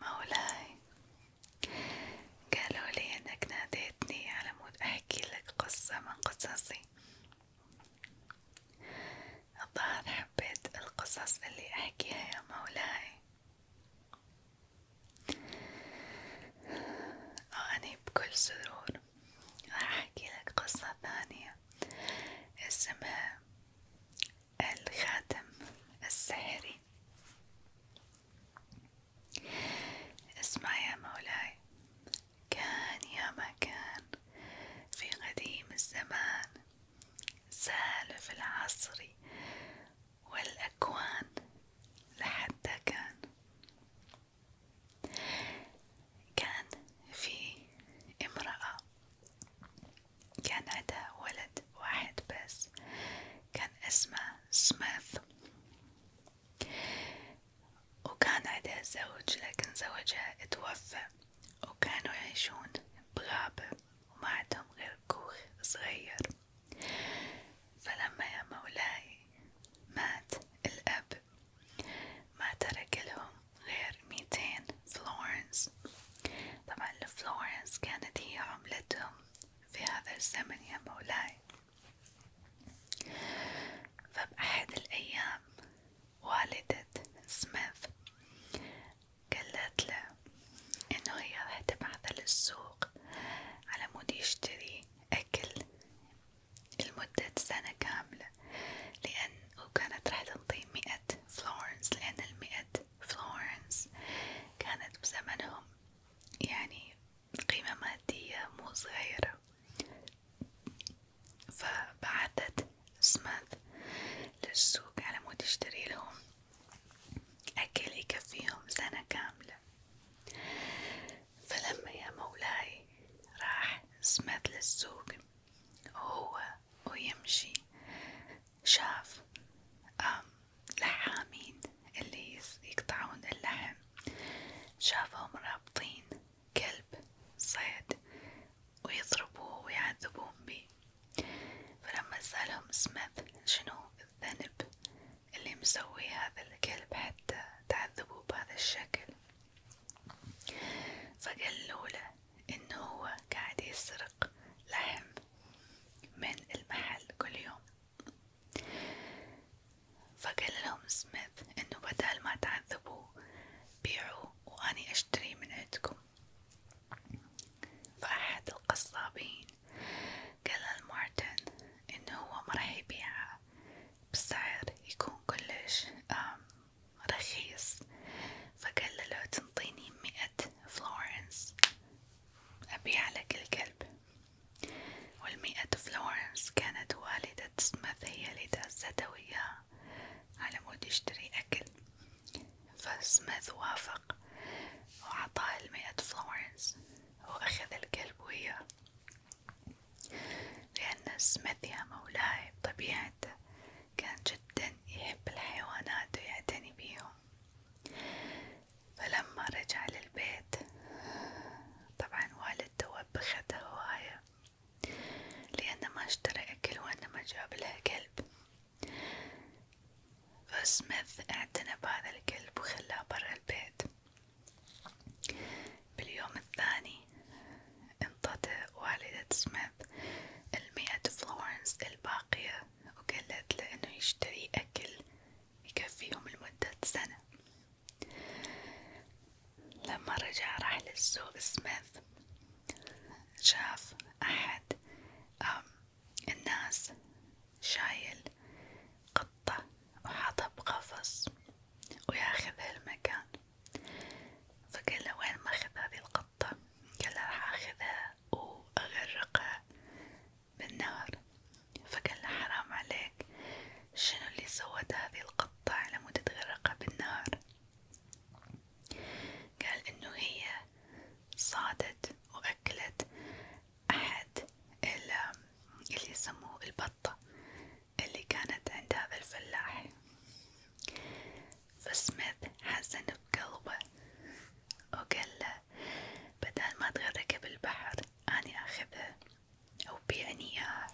مولاي قالوا انك ناديتني على مود قصة من قصصي الظاهر حبيت القصص اللي احكيها يا مولاي وأني بكل سرور راح أحكي قصة ثانية اسمها الخاتم السحري عليه اسمع يا مولاي كان يا ما كان في قديم الزمان سالف العصر والأكوان لحتى كان كان في امرأة كان عندها ولد واحد بس كان اسمه سميث وكان عندها زوج لكن زوجها توفى وكانوا يعيشون بغابة وما عندهم غير كوخ صغير فلما يا مولاي مات الأب ما ترك لهم غير ميتين فلورنس طبعا الفلورنس كانت هي عملتهم في هذا الزمن يا مولاي فبأحد الأيام والدة سميث قالت إنه هي راح تبعثه للسوق على يشتري أكل لمدة سنة كاملة لأن وكانت راح تنطي مئة فلورنس لأن المئة فلورنس كانت بزمنهم يعني قيمة مادية مو صغيرة فبعثت سميث للسوق على مود يشتري لهم أكل يكفيهم سنة كاملة فلما يا مولاي راح سميث للسوق وهو ويمشي شاف لحامين اللي يقطعون اللحم شافهم رابطين كلب صيد ويضربوه ويعذبون بيه فلما سألهم سميث شنو الذنب اللي مسوي هذا الكلب حتى تعذبوه بهذا الشكل فقالوا له إنه هو قاعد يسرق لحم من المحل كل يوم، فقال لهم سميث إنه بدل ما تعذبوا بيعوا وأني أشتري من عندكم، فأحد القصابين قال لمارتن إنه هو مرح يبيعها بسعر يكون كلش رخيص فقال له لو تنطيني مئة فلورنس أبيع لك الكلب والمئة فلورنس كانت والدة سميث هي اللي دازته وياه على مود يشتري أكل فسميث وافق وعطاه المئة فلورنس وأخذ الكلب وياه لأن سميث يا مولاي بطبيعته كان جدا يحب الحيوانات ويعتني بيهم فلما رجع للبيت طبعا والدته وبخته هواية لأنه ما اشترى أكل وأنه ما جاب لها كلب فسميث اعتنى بهذا الكلب وخلاه برا البيت باليوم الثاني انطت والدة سميث المئة فلورنس الباقية وقالت له إنه يشتري أكل يكفيهم لمدة سنة، لما رجع راح للسوق سميث شاف أحد الناس شايل قطة وحاطها بقفص وياخذ هالمكان فقال له وين ماخذ هذه القطة قال له راح اخذها واغرقها بالنار فقال له حرام عليك شنو اللي سوت هذه القطة على مود تغرقها بالنار قال انه هي صادت واكلت احد اللي يسموه البطة اللي كانت عند هذا الفلاح فسميث حزن بقلبه وقال له بدل ما تغرق بالبحر أني أخذها أو بيعني إياها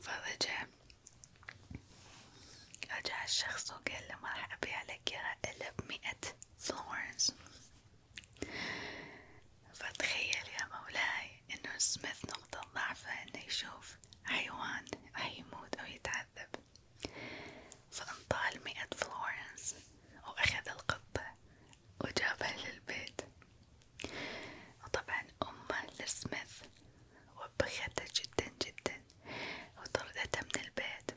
فرجع رجع الشخص وقال له ما راح أبيع لك إياها إلا بمئة فلورنز فتخيل يا مولاي إنه سميث نقطة ضعفه إنه يشوف حيوان راح يموت أو يتعذب فانطال مئة فلورنس وأخذ القطة وجابها للبيت وطبعا أمه لسميث وبختها جدا جدا وطردتها من البيت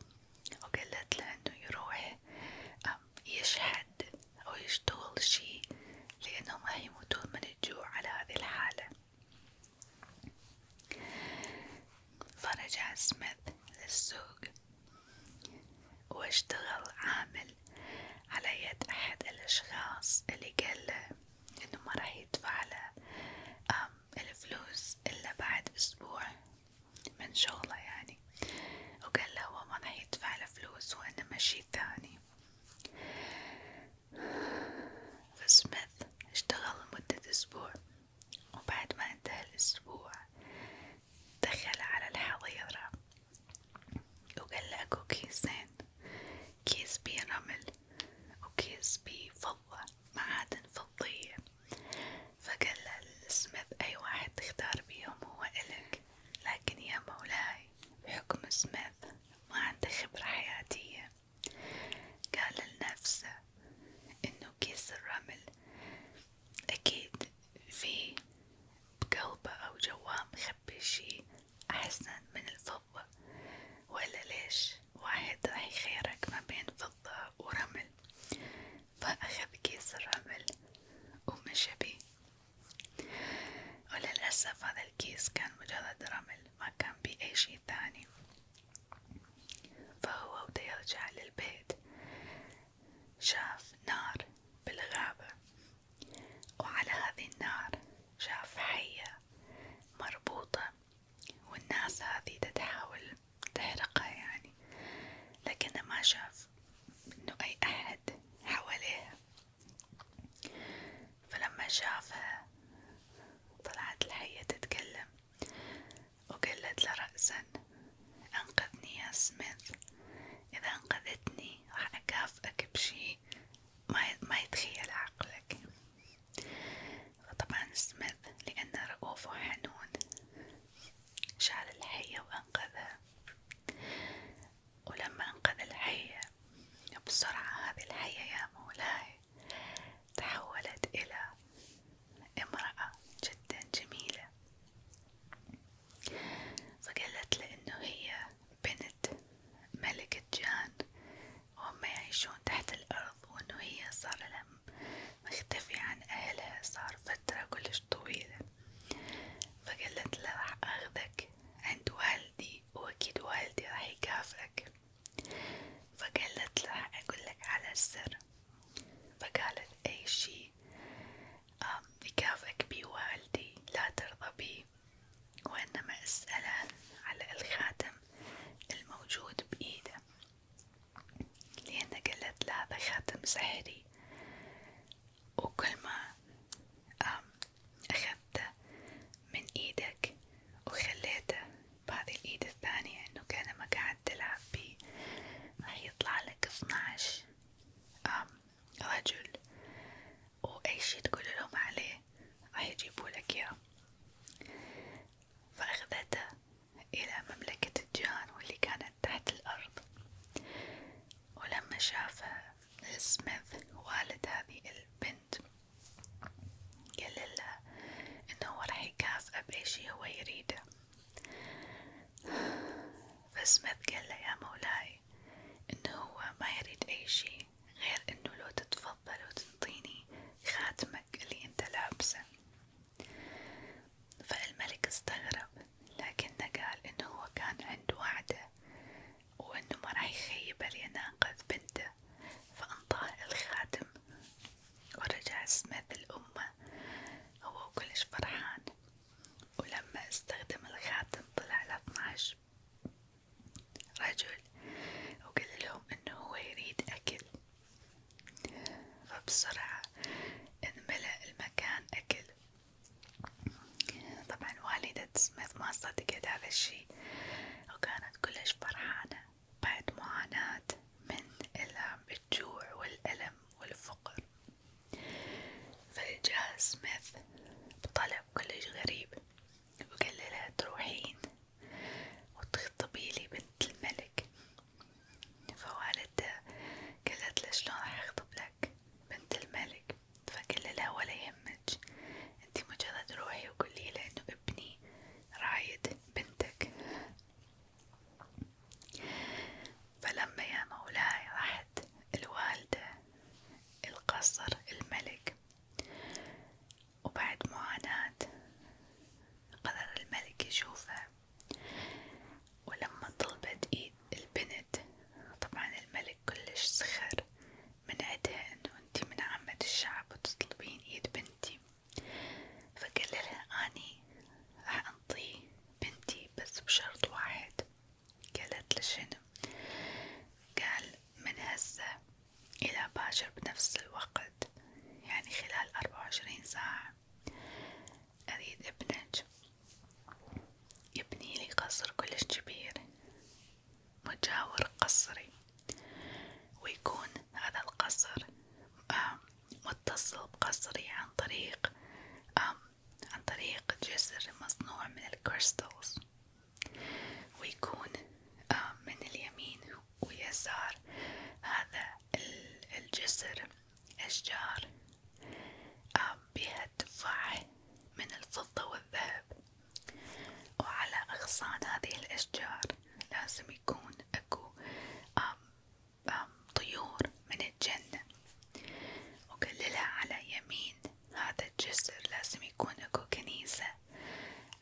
وقالت له إنه يروح يشحد أو يشتغل شي لأنهم راح يموتون من الجوع على هذه الحالة فرجع سميث للسوق واشتغل عامل على يد أحد الأشخاص اللي له إنه ما راح يدفع له الفلوس إلا بعد أسبوع من شغله يعني وقال له هو ما راح يدفع له فلوس وإنما شي ثاني فسميث اشتغل لمدة أسبوع وبعد ما انتهى الأسبوع دخل على الحظيرة وقال لقوا كيسين كيس بيه رمل وكيس بيه فضة معادن فضية فقال لسميث أي واحد تختار بيهم هو إلك لكن يا مولاي بحكم سميث ما عنده خبرة حياتية قال لنفسه انه كيس الرمل اكيد في بقلبه او جواه مخبي شي احسن من الفضة ولا ليش واحد راح يخيرك ما بين فضة ورمل فأخذ كيس الرمل ومشى بيه وللأسف هذا الكيس كان مجرد رمل ما كان بيه أي شي تاني فهو وده يرجع للبيت شاف نار بالغابة وعلى هذه النار شاف حية مربوطة والناس هذه تتحاول تحرقها يعني لكنه ما شاف انه اي احد حواليها فلما شافها طلعت الحية تتكلم وقالت له رأسا أنقذني يا سميث إذا أنقذتني راح أكافئك بشي ما يتخيل عقلك وطبعا سميث لأنه رؤوف وحنون شال الحية وأنقذها ولما أنقذ الحية بسرعة هذه الحية يا مولاي تحولت إلى امرأة جدا جميلة فقالت له إنه هي بنت ملكة جان وهم يعيشون تحت الأرض وإنه هي صار لها مختفية عن أهلها صار فترة كلش طويلة فقالت له راح أخذك عند والدي والدي وأكيد والدي راح يكافئك فقالت له أقولك على السر فقالت أي شي يكافئك بي والدي لا ترضى بي وإنما اسأله على الخاتم الموجود بإيده لأن قالت له هذا خاتم سحري وكل ما أخذته من إيدك وخليته بهذه الإيد الثانية إنه كأنما قاعد تلعب بيه راح يطلع لك اثناش رجل وأي شي تقول لهم عليه راح يجيبوا لك إياه فأخذته إلى مملكة الجان واللي كانت تحت الأرض ولما شافها سميث والد هذه البنت قال لها انه هو راح يكافئه بأي هو يريده فسميث قال له يا مولاي انه هو ما يريد اي شي غير انه لو تتفضل وتنطيني خاتمك اللي انت لابسه فالملك استغرب لكنه قال انه هو كان عنده وعده وإنه ما راح يخيبها ليناقذ بنته فأنطاه الخاتم ورجع سميث الأمة هو كلش فرحان ولما استخدم الخاتم طلع له اثناش رجل وقال لهم إنه هو يريد أكل فبسرعة انملأ المكان أكل طبعا والدة سميث ما صدقت هذا الشي وكانت كلش فرحانة بعد معاناة من الجوع والألم والفقر فجاء سميث بطلب كلش غريب وقال لها تروحين وتخطبي لي بنت الملك فوالدته قالت له شلون راح أخطب لك بنت الملك فقال لا ولا يهمك انتي مجرد روحي وقولي له انه ابني رايد بنتك فلما يا مولاي راحت الوالدة القصر الملك وبعد معاناة قرر الملك يشوفها ولما طلبت ايد البنت البنت طبعا الملك كلش سخر من عدها انو انتي من عامة الشعب وتطلبين ايد بنتي فقال لها اني راح انطي بنتي بس بشرط واحد قالت له شنو قال من هسه الى باشر بنفس الوقت يعني خلال اربعة وعشرين ساعة أريد ابنك يبني قصر كلش كبير مجاور قصري ويكون هذا القصر متصل بقصري عن طريق عن طريق جسر مصنوع من الكريستالز ويكون من اليمين ويسار هذا الجسر أشجار آه، بها تفاح من الفضة والذهب وعلى أغصان هذه الأشجار لازم يكون أكو طيور من الجنة وكلها على يمين هذا الجسر لازم يكون أكو كنيسة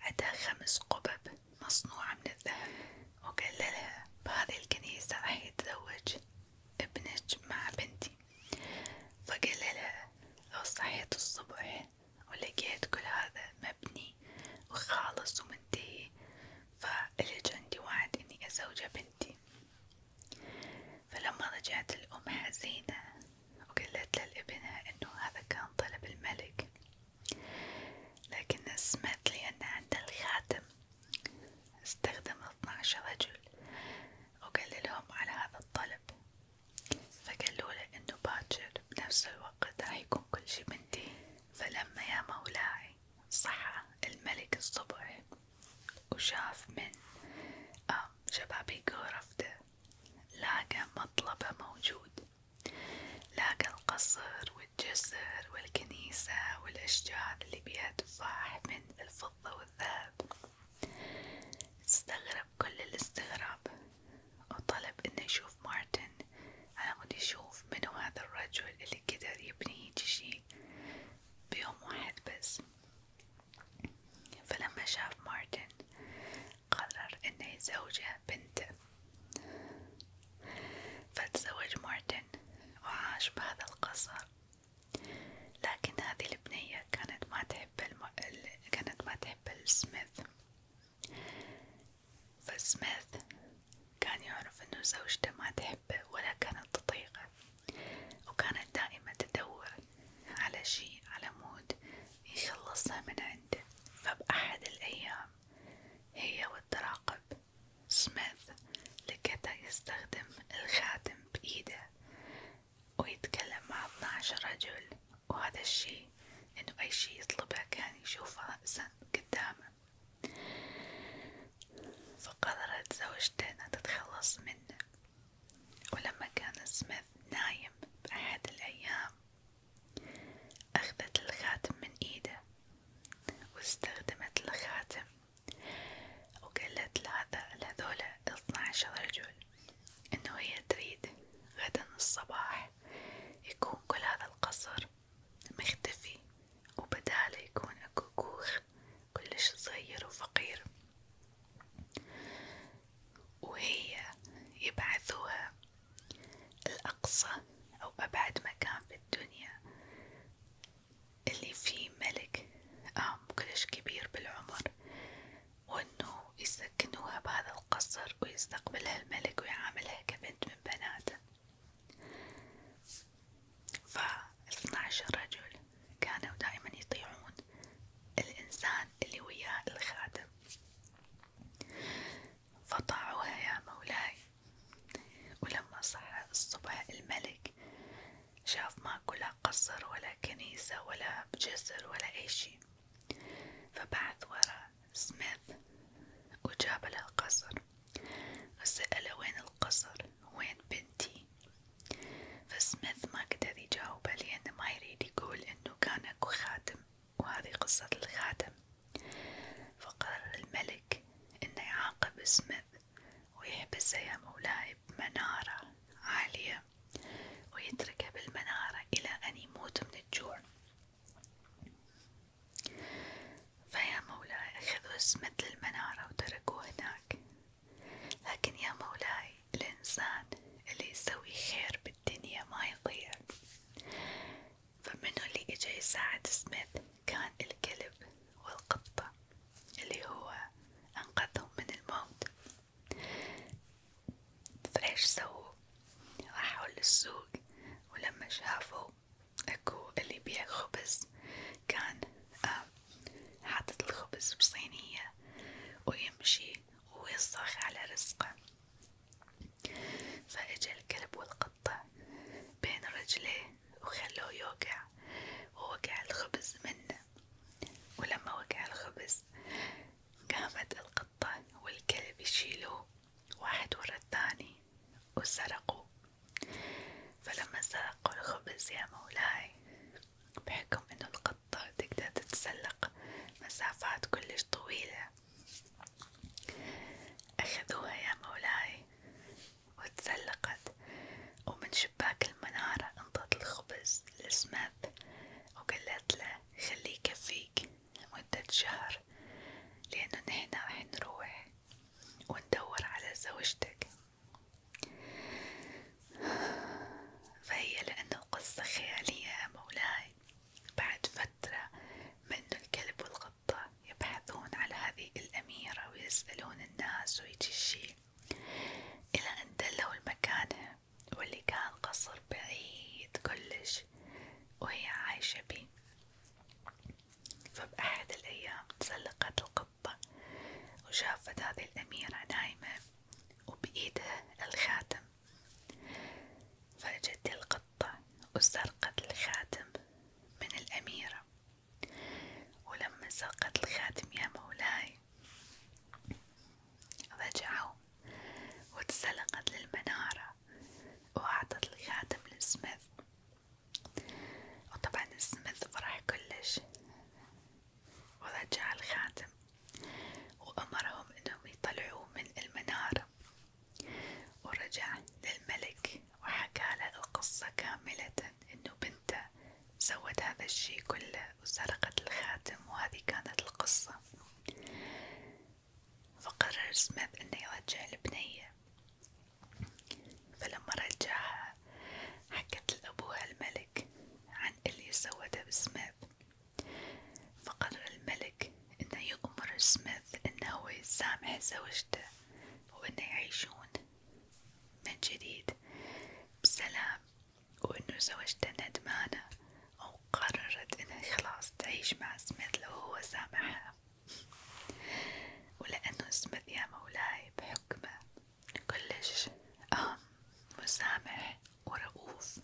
عندها خمس قبب مصنوعة من الذهب وقال لها بهذه الكنيسة راح يتزوج ابنك مع بنتي فقال لها لو صحيت الصبح ولقيت كل هذا مبني وخالص ومنتهي فلج عندي وعد إني أزوجها بنتي فلما رجعت الأم حزينة وقالت لابنها إنه هذا كان طلب الملك لكنها سمعت لأن عندها الخاتم استخدم 12 رجل وقال لهم على هذا الطلب فقالوا له انه باكر بنفس الوقت راح يكون كل شي بنتي فلما يا مولاي صحى الملك الصبح وشاف من آه، شبابيك غرفته لاقى مطلبه موجود لاقى القصر والجسر والكنيسة والأشجار اللي بيها تفاح من الفضة الذهب استغرب كل الاستغراب وطلب انه يشوف مارتن على مود يشوف منو هذا الرجل اللي قدر يبني هيجي شي بيوم واحد بس فلما شاف مارتن قرر انه يزوجه بنته فتزوج مارتن وعاش بهذا القصر لكن هذه البنية كانت ما تحب الم... كانت ما تحب السميث فسميث كان يعرف انه زوجته ما تحبه ولا كانت تطيقه وكانت دائما تدور على شيء على يخلصها من عنده فبأحد الأيام هي والتراقب سميث لكتا يستخدم الخاتم بإيده ويتكلم مع 12 رجل وهذا الشيء إنه أي شيء يطلبه كان يشوفه إنسان قدامه فقررت زوجته إنها تتخلص منه ولما كان سميث نايم بأحد الأيام أخذت الخاتم من إيده واستخدمت الخاتم وقالت لهذا لهذولا اثناعشر رجل إنه هي تريد غدا الصباح يكون كل هذا القصر مختفي وبداله يكون أكو كوخ كلش صغير وفقير وهي يبعثوها الأقصى أو أبعد مكان في الدنيا اللي فيه ملك آه كلش كبير بالعمر وانه يسكنوها بهذا القصر ويستقبلها الملك ويعاملها كبنت من بناته ف عشر رجل كانوا دائما يطيعون الإنسان اللي وياه الخادم فطاعوها يا مولاي ولما صحى الصبح الملك شاف ماكو لا قصر ولا كنيسة ولا جسر ولا أي شي فبعث ورا سميث وجاب له القصر وسأله وين القصر وين بنتي فسميث ما قدر يجاوبه لأنه ما يريد يقول إنه كان أكو خادم وهذه قصة الخادم فقرر الملك إنه يعاقب سميث ويحبسها يا مولاي بمنارة عالية ويتركها بالمنارة إلى أن يموت من الجوع فيا مولاي أخذوا مثل المنارة وتركوه هناك لكن يا مولاي الإنسان اللي يسوي خير بالدنيا ما يضيع فمنو اللي إجا يساعد سميث كان الكلب والقطة اللي هو أنقذهم من الموت فايش سووا راحوا للسوق ولما شافوا اكو اللي يبيع خبز كان آه، حاطط الخبز بصينية ويمشي ويصرخ على رزقه فاجا الكلب والقطة بين رجليه وخلوه يوقع ووقع الخبز منه ولما وقع الخبز قامت القطة والكلب يشيلوه واحد ورا الثاني وسرقوا فلما سرقوا الخبز يا مولاي بحكم انه القطة تقدر تتسلق مسافات كلش طويلة أخذوها يا مولاي وتزلقت ومن شباك المنارة انطت الخبز لسماب وقالت له خليه يكفيك لمدة شهر لأنه نحن راح نروح وندور على زوجتك فهي لأنه قصة خيالية مولاي بعد فترة منه الكلب والغرب الخطة يبحثون على هذه الأميرة ويسألون الناس ويجي الشي إلى أن دلوا المكانها واللي كان قصر بعيد كلش وهي عايشة بيه فبأحد الأيام تسلقت القطة وشافت هذه الأميرة نايمة وبإيدها الخاتم فجت القطة الشرطة وسرقت الخاتم من الأميرة ولما سرقت الخاتم يا مولاي رجعوا وتسلقت للمنارة وأعطت الخاتم لسميث وطبعا سميث فرح كلش ورجع الخاتم وأمرهم إنهم يطلعوه من المنارة ورجع للملك وحكى له القصة كاملة إنه بنته سوت هذا الشي كله وسرقت الخاتم وهذه كانت القصة فقرر سميث إنه يرجع البنية فلما رجعها حكت لأبوها الملك عن اللي سوته بسميث فقرر الملك إنه يأمر سميث إنه هو يسامح زوجته وإنه يعيشون من جديد بسلام وإنه زوجته ندمانة أو إنها خلاص تعيش مع سميث لو هو سامحها ولأنه سميث يا مولاي بحكمه كلش مسامح ورؤوف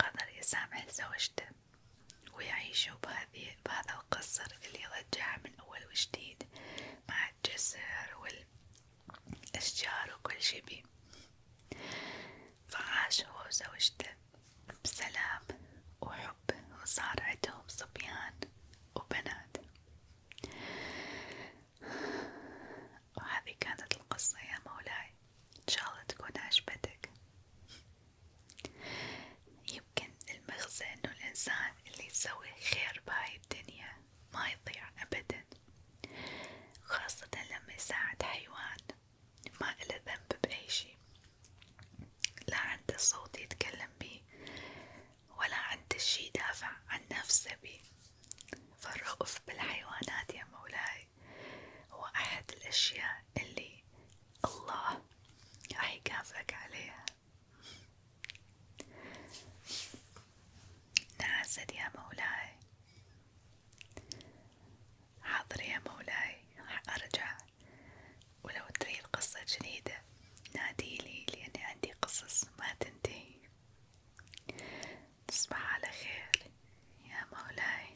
قدر يسامح زوجته ويعيشوا بهذه بهذا القصر اللي رجع من أول وجديد مع الجسر والأشجار وكل شي بيه فعاش هو وزوجته بسلام وحب وصار عندهم صبيان وبنات وهذه كانت القصة يا مولاي إن شاء الله تكون عجبتك يمكن المغزى إنه الإنسان اللي يسوي خير بهاي الدنيا ما يضيع أبدا، خاصة لما يساعد حيوان ما إله ذنب بأي شي، لا عنده صوت يتكلم بيه ولا عنده شي يدافع عن نفسه بيه، فالرؤف بالحيوانات يا مولاي هو أحد الأشياء اللي الله راح يكافئك عليها نعسد يا مولاي حاضر يا مولاي راح أرجع ولو تريد قصة جديدة ناديلي لأني عندي قصص ما تنتهي تصبح على خير يا مولاي